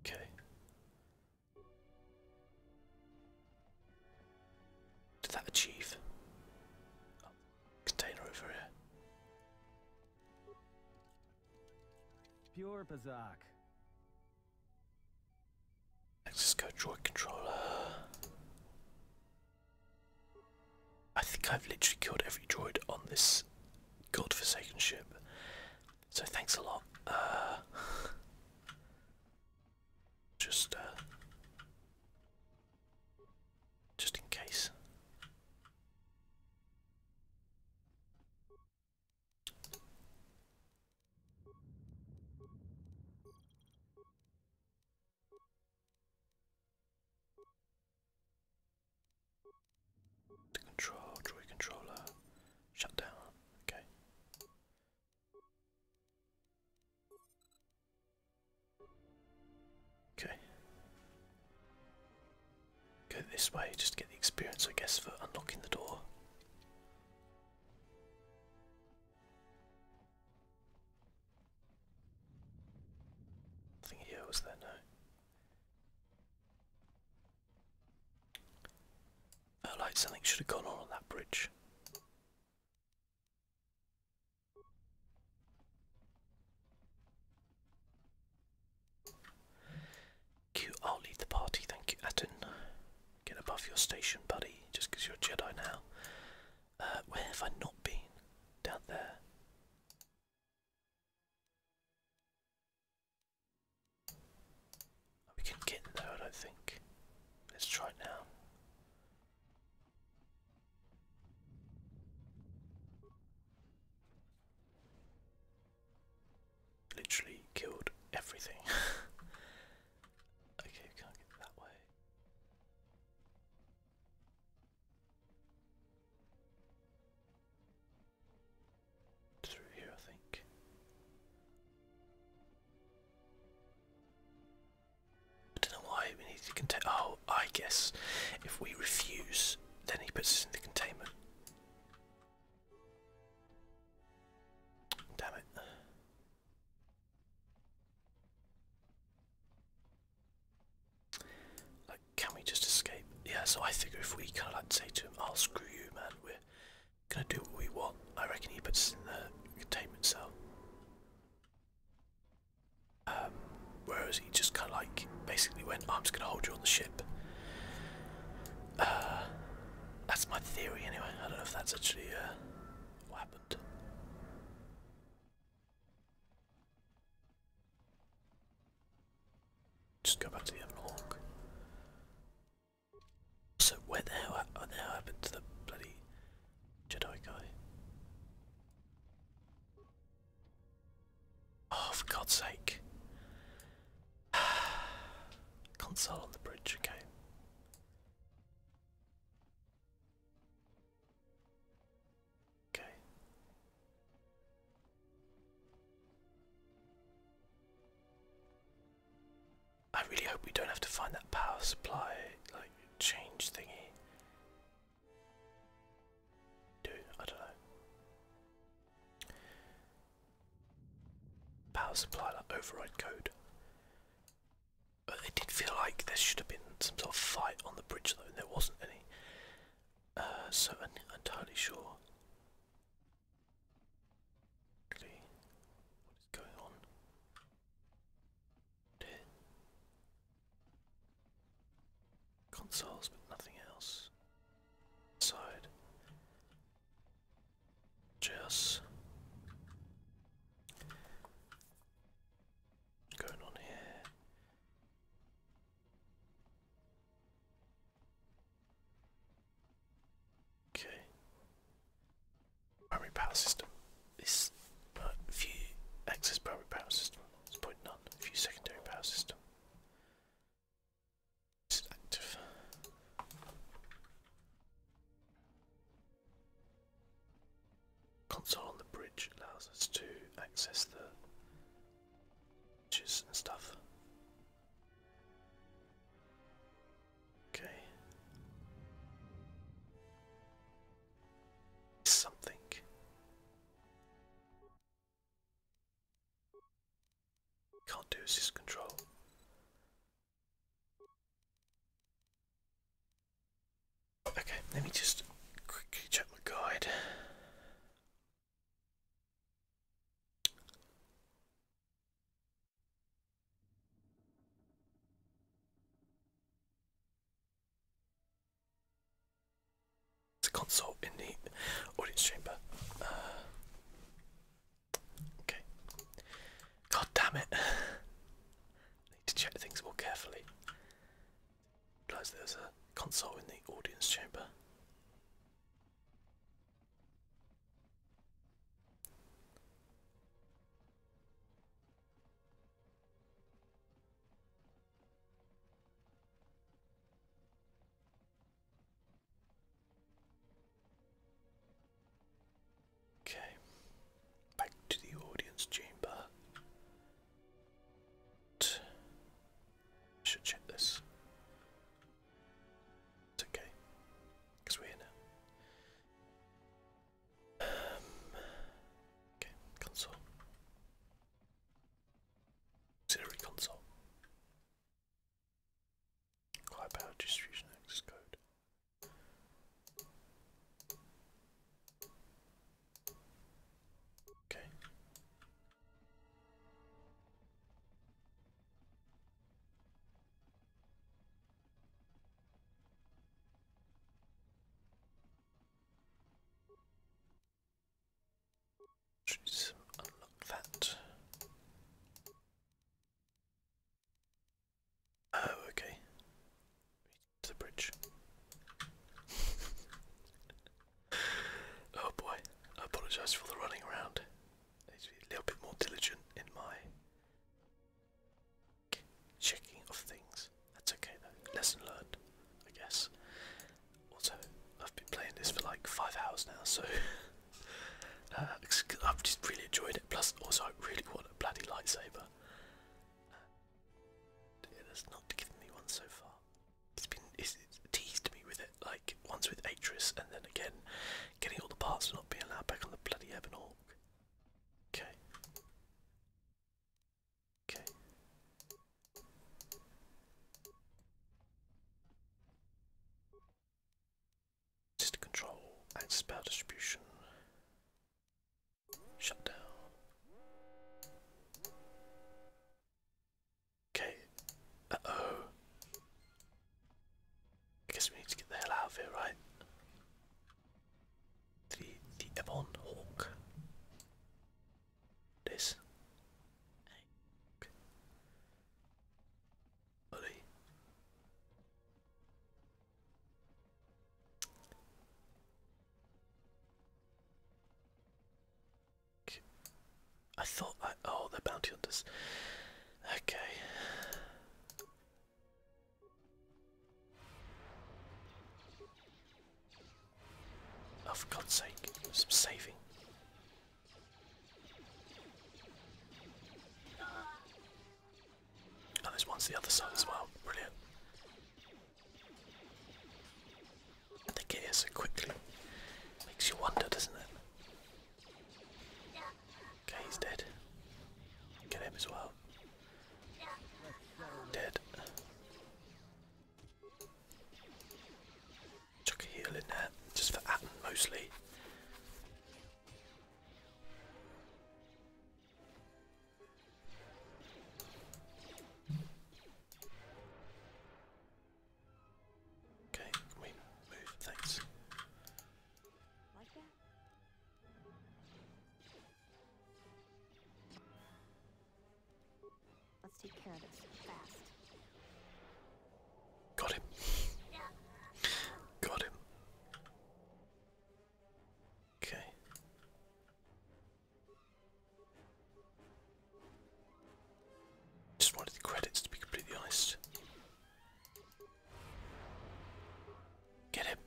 Okay. Did that achieve? Oh, container over here. Pure Bazak. Let's controller. I think I've literally killed every droid on this god-forsaken ship. So thanks a lot. Uh, just, uh, just in case. To control, joy controller, shut okay. Okay. Go this way just to get the experience, I guess, for unlocking the door. Nothing here, was there no. Oh, like something should have gone on on that bridge. Q, I'll lead the party, thank you, Atten. Get above your station, buddy, just because you're a Jedi now. Uh, where have I not been? Down there. We can get there, I think. Let's try it now. Literally killed everything. okay, can't get that way. Through here, I think. I don't know why we need to contain. Oh, I guess if we refuse, then he puts us in the containment. Damn it. Like, can we just escape? Yeah, so I figure if we kind of like say to him, I'll screw you, man, we're gonna do what we want. I reckon he puts us in the containment cell. Um, whereas he just kind of like basically went, I'm just gonna hold you on the ship. Uh, that's my theory anyway. I don't know if that's actually uh, what happened. Just go back to the log. So where the hell, oh, what the hell happened to the bloody Jedi guy? Oh, for God's sake. Console on the bridge, okay. Okay. I really hope we don't have to find that power supply like change thingy. Do I don't know. Power supply like override code. But it did feel like there should have been some sort of fight on the bridge though, and there wasn't any. Uh, so I'm entirely sure. what is going on? Here. Consoles, but nothing else. Side. Just going on here. Okay. Primary power system. This but few access primary power system. It's point none. Few secondary power system. This is active. Console on the bridge allows us to access the Juice and stuff. Okay. Something. Can't do assist control. Okay, let me just quickly check my guide. It's a console in the audience chamber. Uh, okay. God damn it. I need to check things more carefully. Realize there's a console in the audience chamber. Okay, back to the audience chamber. Should check this. It's okay, we're here now. Um, okay, console. Auxiliary console. High power distribution access code. Okay. Just unlock that. Oh, okay. To the bridge. Oh boy, I apologise for the running around. I need to be a little bit more diligent in my checking of things. That's okay though, lesson learned, I guess. Also, I've been playing this for like five hours now, so uh, I've just really enjoyed it. Plus, also, I really want a bloody lightsaber. Uh, it not given me one so far it's been teased me with it, like once with Atris and then again getting all the parts and not being allowed back on the bloody Ebon Okay. Okay. System control, access power distribution, shut Okay. Uh oh. I guess we need to get the hell out of here, right? The the Ebon Hawk. This. Okay. Buddy. I thought I oh they're bounty hunters. Okay. Oh for God's sake, some saving. And oh, there's one's the other side as well. Brilliant. They get here so quickly. Makes you wonder, doesn't it? Okay, he's dead. Get him as well. Dead. Chuck a heal in there, just for Atten mostly. Okay, we move, thanks. Let's take care of this fast. Got him. Got him. Okay. Just wanted the credits to be completely honest. Get him.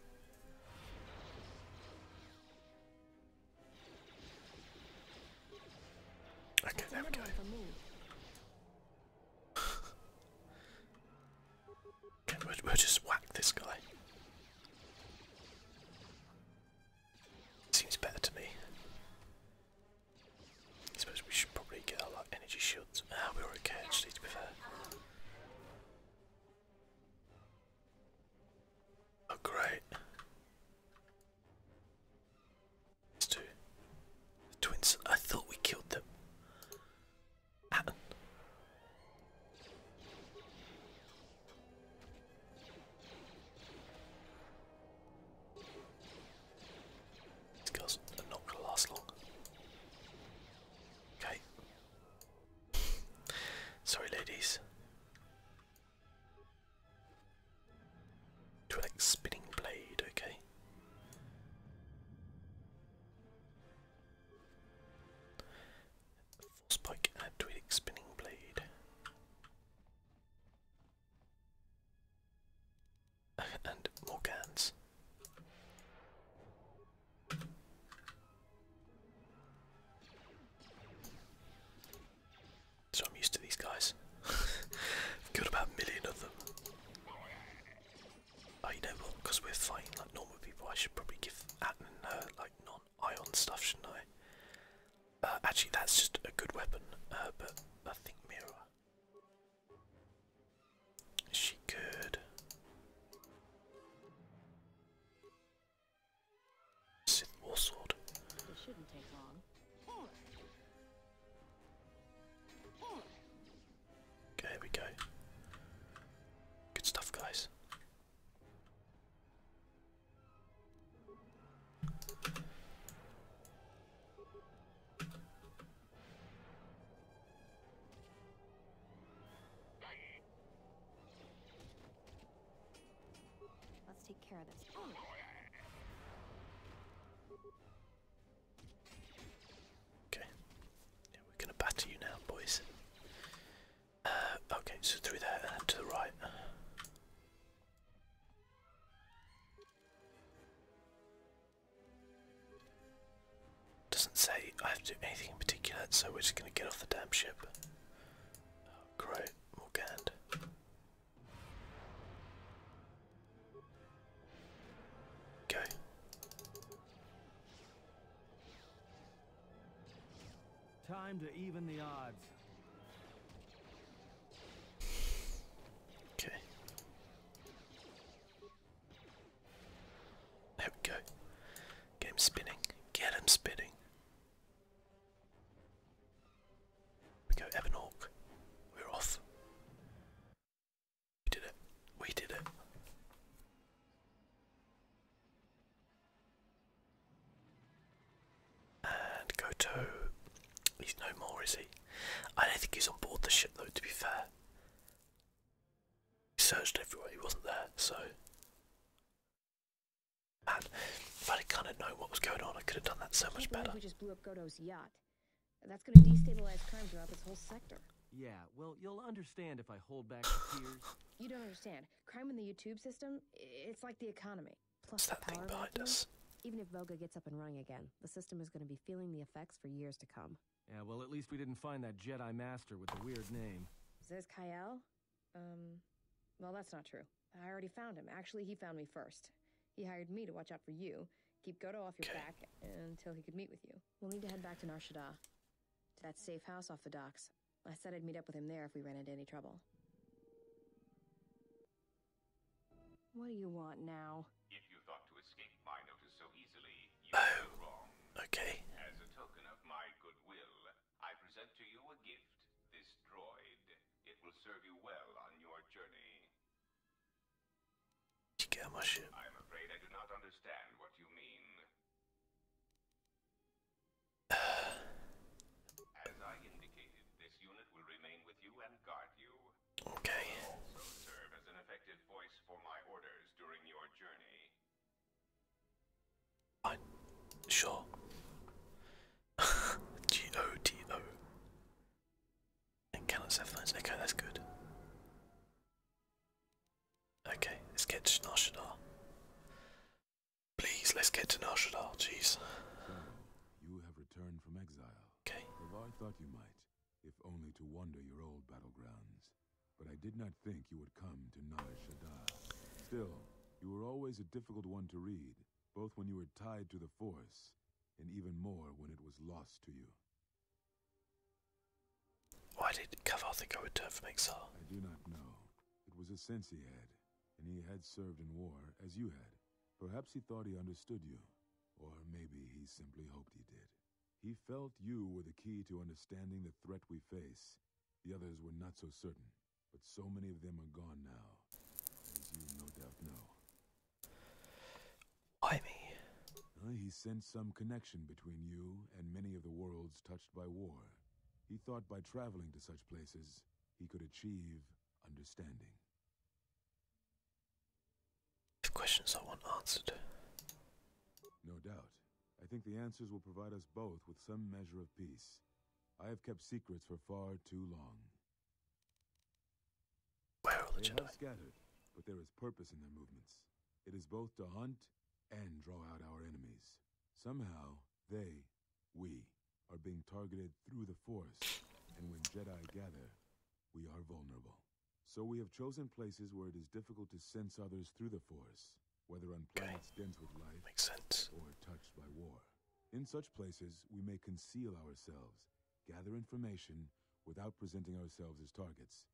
Okay, there we go. we'll just whack this guy. Seems better to me. I suppose we should probably get our like, energy shields. Ah, we're okay actually, to be fair. Oh, great. These two. The twins. I thought we killed them. These girls are not going to last long. Okay. Sorry, ladies. To spinning blade, okay. Force Pike and Spinning Blade. and more So I'm used to these guys. I've got about a million of them. Oh, you know what? Because we're fighting like normal people, I should probably give Atman like non-ion stuff, shouldn't I? Uh, actually, that's just a good weapon, uh, but I think Mira. she good? Sith War Sword. Okay, here we go. Good stuff, guys. Let's take care of this. Okay. Yeah, we're gonna batter you now, boys. Uh, okay, so through there and to the right. Doesn't say I have to do anything in particular, so we're just gonna get off the damn ship. Oh, great, Morgand. Go. Time to even the odds. Okay. There we go. Get spinning. Get him spinning. We go Evanork. We're off. We did it. We did it. And Goto, he's no more, is he? I don't think he's on board the ship though, to be fair. He searched everywhere, he wasn't there, so. Man, if I'd kind of known what was going on, I could have done that so much better. We just blew up Goto's yacht. That's going to destabilize crime throughout this whole sector. Yeah, well, you'll understand if I hold back the tears. You don't understand. Crime in the YouTube system, it's like the economy. Plus What's that thing behind us? Even if Voga gets up and running again, the system is going to be feeling the effects for years to come. Yeah, well, at least we didn't find that Jedi Master with the weird name. Ziz Kael? Um, well, that's not true. I already found him. Actually, he found me first. He hired me to watch out for you, keep Goto off your back until he could meet with you. We'll need to head back to Nar Shaddaa, to that safe house off the docks. I said I'd meet up with him there if we ran into any trouble. What do you want now? oh. Okay. As a token of my goodwill, I present to you a gift, this droid. It will serve you well on your journey. You get I'm afraid I do not understand what you mean. As I indicated, this unit will remain with you and Okay. I sure. G O T O. And cannot have lines. Okay, that's good. Okay, let's get to Narshadar. Please, let's get to Narshadar, jeez. You have returned from exile. Okay. I thought you might, if only to wander your old battlegrounds. But I did not think you would come to Nar Shaddaa. Still, you were always a difficult one to read, both when you were tied to the Force, and even more when it was lost to you. Why did Kavath think I would return from exile? I do not know. It was a sense he had, and he had served in war, as you had. Perhaps he thought he understood you, or maybe he simply hoped he did. He felt you were the key to understanding the threat we face. The others were not so certain, but so many of them are gone now, as you no doubt know. I mean... Uh, he sensed some connection between you and many of the worlds touched by war. He thought by traveling to such places, he could achieve understanding. The questions I want answered. No doubt. I think the answers will provide us both with some measure of peace. I have kept secrets for far too long. Where are they Jedi? scattered, but there is purpose in their movements. It is both to hunt and draw out our enemies. Somehow, they, we, are being targeted through the Force, and when Jedi gather, we are vulnerable. So we have chosen places where it is difficult to sense others through the Force, whether on planets dense with life Makes sense. or touched by war. In such places, we may conceal ourselves, gather information without presenting ourselves as targets.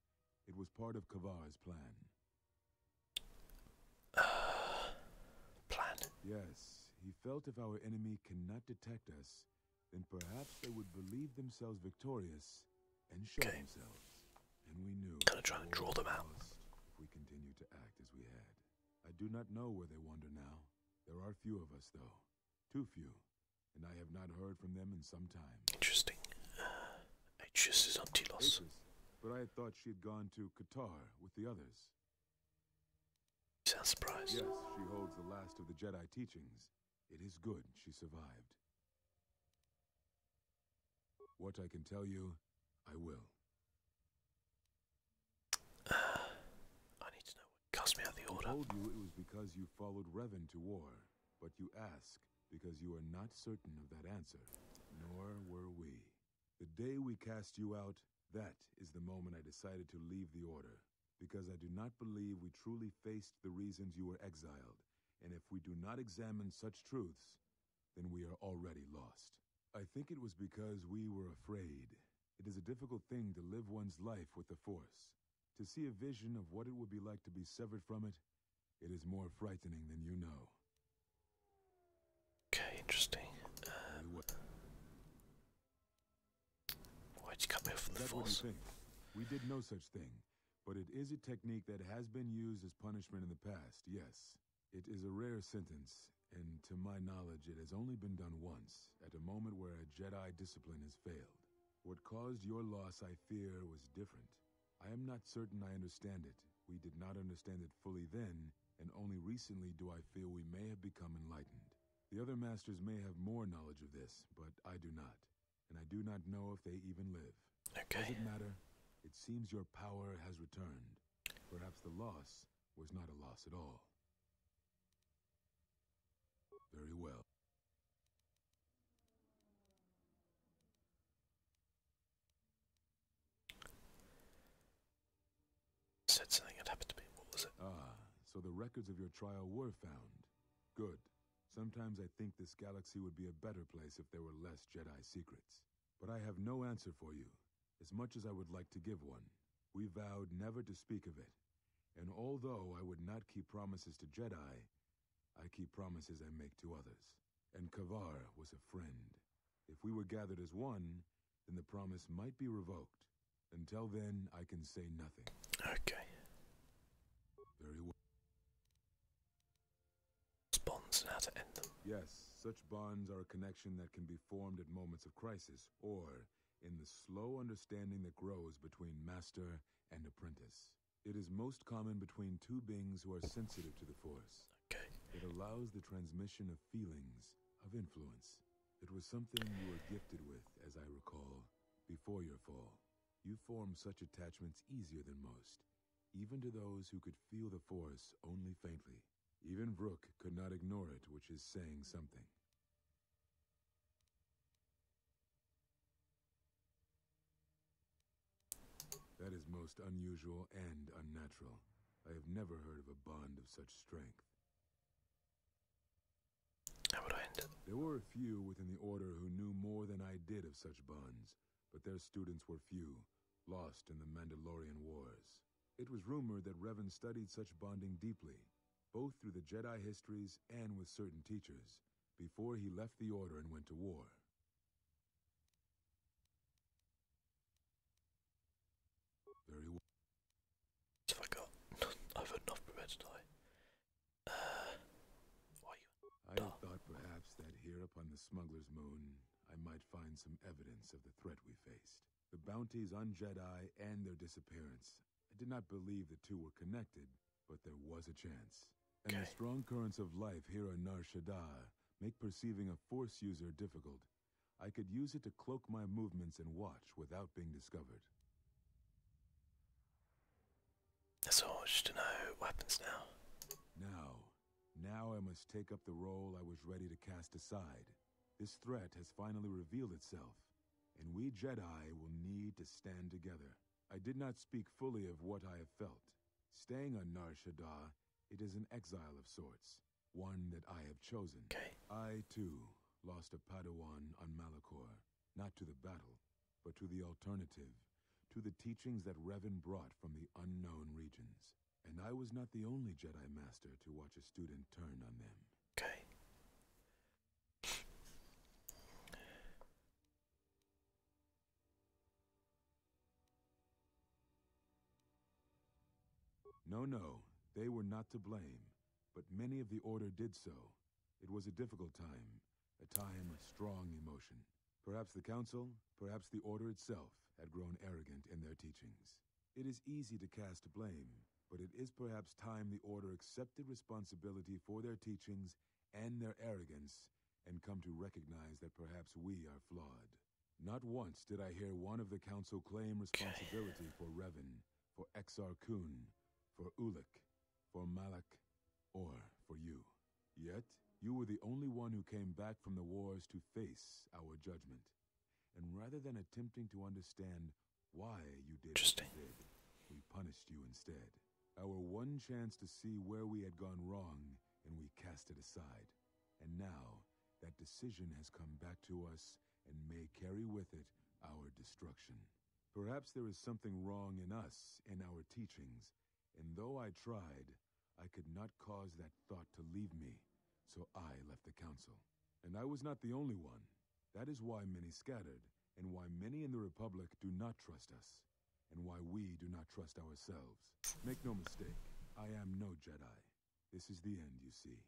It was part of Kavar's plan. plan? Yes, he felt if our enemy cannot detect us, then perhaps they would believe themselves victorious and show themselves. And we knew. Kind of trying to draw them out. If we continue to act as we had. I do not know where they wander now. There are few of us, though. Too few. And I have not heard from them in some time. Interesting. Uh, Atreus is on Telos. But I had thought she had gone to Qatar with the others. You sound surprised. Yes, she holds the last of the Jedi teachings. It is good she survived. What I can tell you, I will. I need to know cast me out the order. I told you it was because you followed Revan to war, but you ask because you are not certain of that answer. Nor were we. The day we cast you out, that is the moment I decided to leave the order because I do not believe we truly faced the reasons you were exiled, and if we do not examine such truths, then we are already lost. I think it was because we were afraid. It is a difficult thing to live one's life with the Force. To see a vision of what it would be like to be severed from it, it is more frightening than you know. Okay, interesting. Why'd you cut me from the force? We did no such thing, but it is a technique that has been used as punishment in the past, yes. It is a rare sentence, and to my knowledge, it has only been done once, at a moment where a Jedi discipline has failed. What caused your loss, I fear, was different. I am not certain I understand it. We did not understand it fully then, and only recently do I feel we may have become enlightened. The other masters may have more knowledge of this, but I do not, and I do not know if they even live. Okay. Does it matter? It seems your power has returned. Perhaps the loss was not a loss at all. Very well said something had happened to me. What was it? Ah, so the records of your trial were found. Good. Sometimes I think this galaxy would be a better place if there were less Jedi secrets. But I have no answer for you, as much as I would like to give one. We vowed never to speak of it. And although I would not keep promises to Jedi, I keep promises I make to others. And Kavar was a friend. If we were gathered as one, then the promise might be revoked. Until then, I can say nothing. Okay. Very well. Bonds and to end Yes, such bonds are a connection that can be formed at moments of crisis, or in the slow understanding that grows between master and apprentice. It is most common between two beings who are sensitive to the Force. Okay. It allows the transmission of feelings, of influence. It was something you were gifted with, as I recall, before your fall. You form such attachments easier than most, even to those who could feel the force only faintly. Even Brooke could not ignore it, which is saying something. That is most unusual and unnatural. I have never heard of a bond of such strength. There were a few within the order who knew more than I did of such bonds, but their students were few, lost in the Mandalorian Wars. It was rumored that Revan studied such bonding deeply, both through the Jedi histories and with certain teachers, before he left the Order and went to war. Very well. So I got I've enough prepared tonight. Uh I thought perhaps that here upon the smuggler's moon I might find some evidence of the threat we faced. The bounties on Jedi and their disappearance. I did not believe the two were connected, but there was a chance. And the strong currents of life here on Nar Shaddaa make perceiving a Force user difficult. I could use it to cloak my movements and watch without being discovered. That's all I wish to know. weapons now? Now. Now I must take up the role I was ready to cast aside. This threat has finally revealed itself, and we Jedi will need to stand together. I did not speak fully of what I have felt. Staying on Nar Shaddaa, it is an exile of sorts, one that I have chosen. I, too, lost a Padawan on Malachor, not to the battle, but to the alternative, to the teachings that Revan brought from the unknown regions. And I was not the only Jedi Master to watch a student turn on them. Okay. No, no, they were not to blame, but many of the Order did so, it was a difficult time, a time of strong emotion. Perhaps the Council, perhaps the Order itself, had grown arrogant in their teachings. It is easy to cast blame, but it is perhaps time the Order accepted responsibility for their teachings and their arrogance and come to recognize that perhaps we are flawed. Not once did I hear one of the Council claim responsibility for Revan, for Exar Kun, for Ulik, for Malak, or for you. Yet, you were the only one who came back from the wars to face our judgment. And rather than attempting to understand why you did what you did, we punished you instead. Our one chance to see where we had gone wrong, and we cast it aside. And now, that decision has come back to us and may carry with it our destruction. Perhaps there is something wrong in us, in our teachings, and though I tried, I could not cause that thought to leave me, so I left the council. And I was not the only one. That is why many scattered, and why many in the Republic do not trust us, and why we do not trust ourselves. Make no mistake, I am no Jedi. This is the end, you see.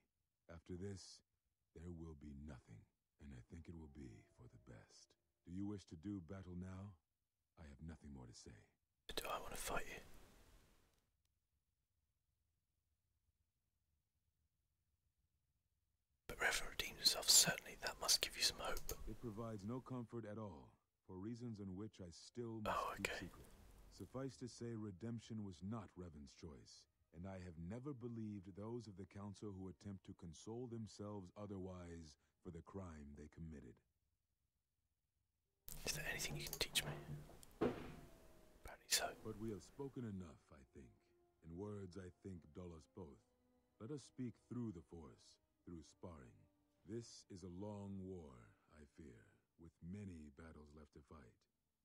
After this, there will be nothing, and I think it will be for the best. Do you wish to do battle now? I have nothing more to say. Do I want to fight you? But Reverend redeemed himself, certainly that must give you some hope. It provides no comfort at all, for reasons on which I still must oh, keep secret. Suffice to say, redemption was not Revan's choice and I have never believed those of the council who attempt to console themselves otherwise for the crime they committed. Is there anything you can teach me? Apparently so. But we have spoken enough, I think. In words, I think, dull us both. Let us speak through the force, through sparring. This is a long war, I fear, with many battles left to fight.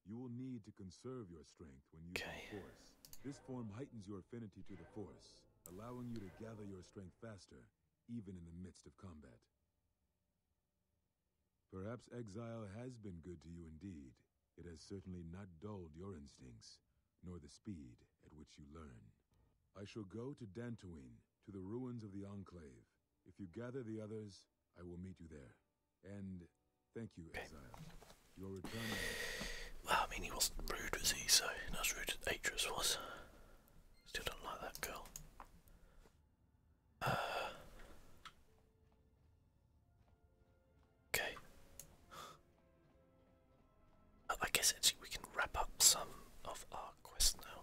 You will need to conserve your strength when you. okay. force. This form heightens your affinity to the Force, allowing you to gather your strength faster, even in the midst of combat. Perhaps exile has been good to you indeed. It has certainly not dulled your instincts, nor the speed at which you learn. I shall go to Dantooine, to the ruins of the Enclave. If you gather the others, I will meet you there. And Thank you, exile. Well, I mean, he wasn't rude, was he? So not as rude as Atreus was. Still don't like that girl. Uh, okay. I guess actually we can wrap up some of our quest now.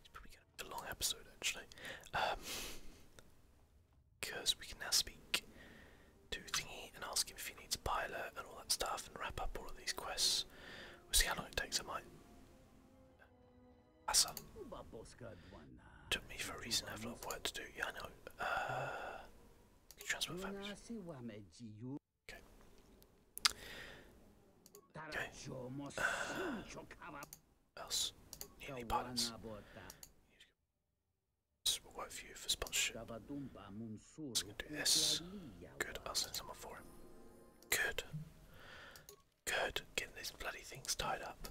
It's probably going to be a long episode actually. Um, because we can now speak to Thingy and ask him if he needs a pilot and all that stuff and wrap up all of these quests. We'll see how long it takes, I might. Asa. Took me for a reason, I have a lot of work to do. Yeah, I know. Uh, transfer families. Okay. Okay. Uh, else? any pilots? we'll work for you for sponsorship. Let's do this. Good, I'll send someone for him. Good. Good, getting these bloody things tied up.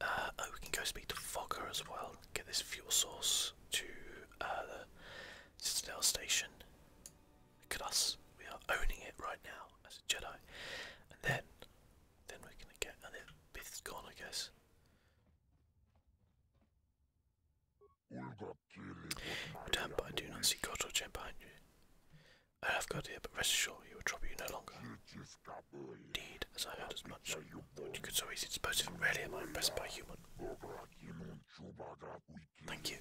Uh, oh, we can go speak to Fogger as well. Get this fuel source to uh, the Citadel station. Look at us. We are owning it right now as a Jedi. And then, then we're gonna get, and it has gone I guess. Damn, but I do not see God or Jen behind you. I have God here, but rest assured he will trouble you no longer. Indeed, as I heard as much, you could so easily dispose of rarely am I impressed by human. Thank you.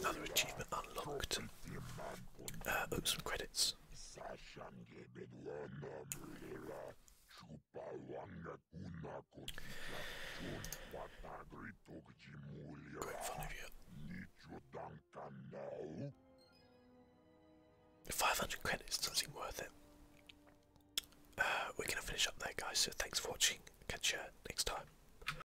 Another achievement unlocked. Uh, some credits. Great fun of you. 500 credits doesn't seem worth it. Uh, we're going to finish up there, guys, so thanks for watching. Catch you next time.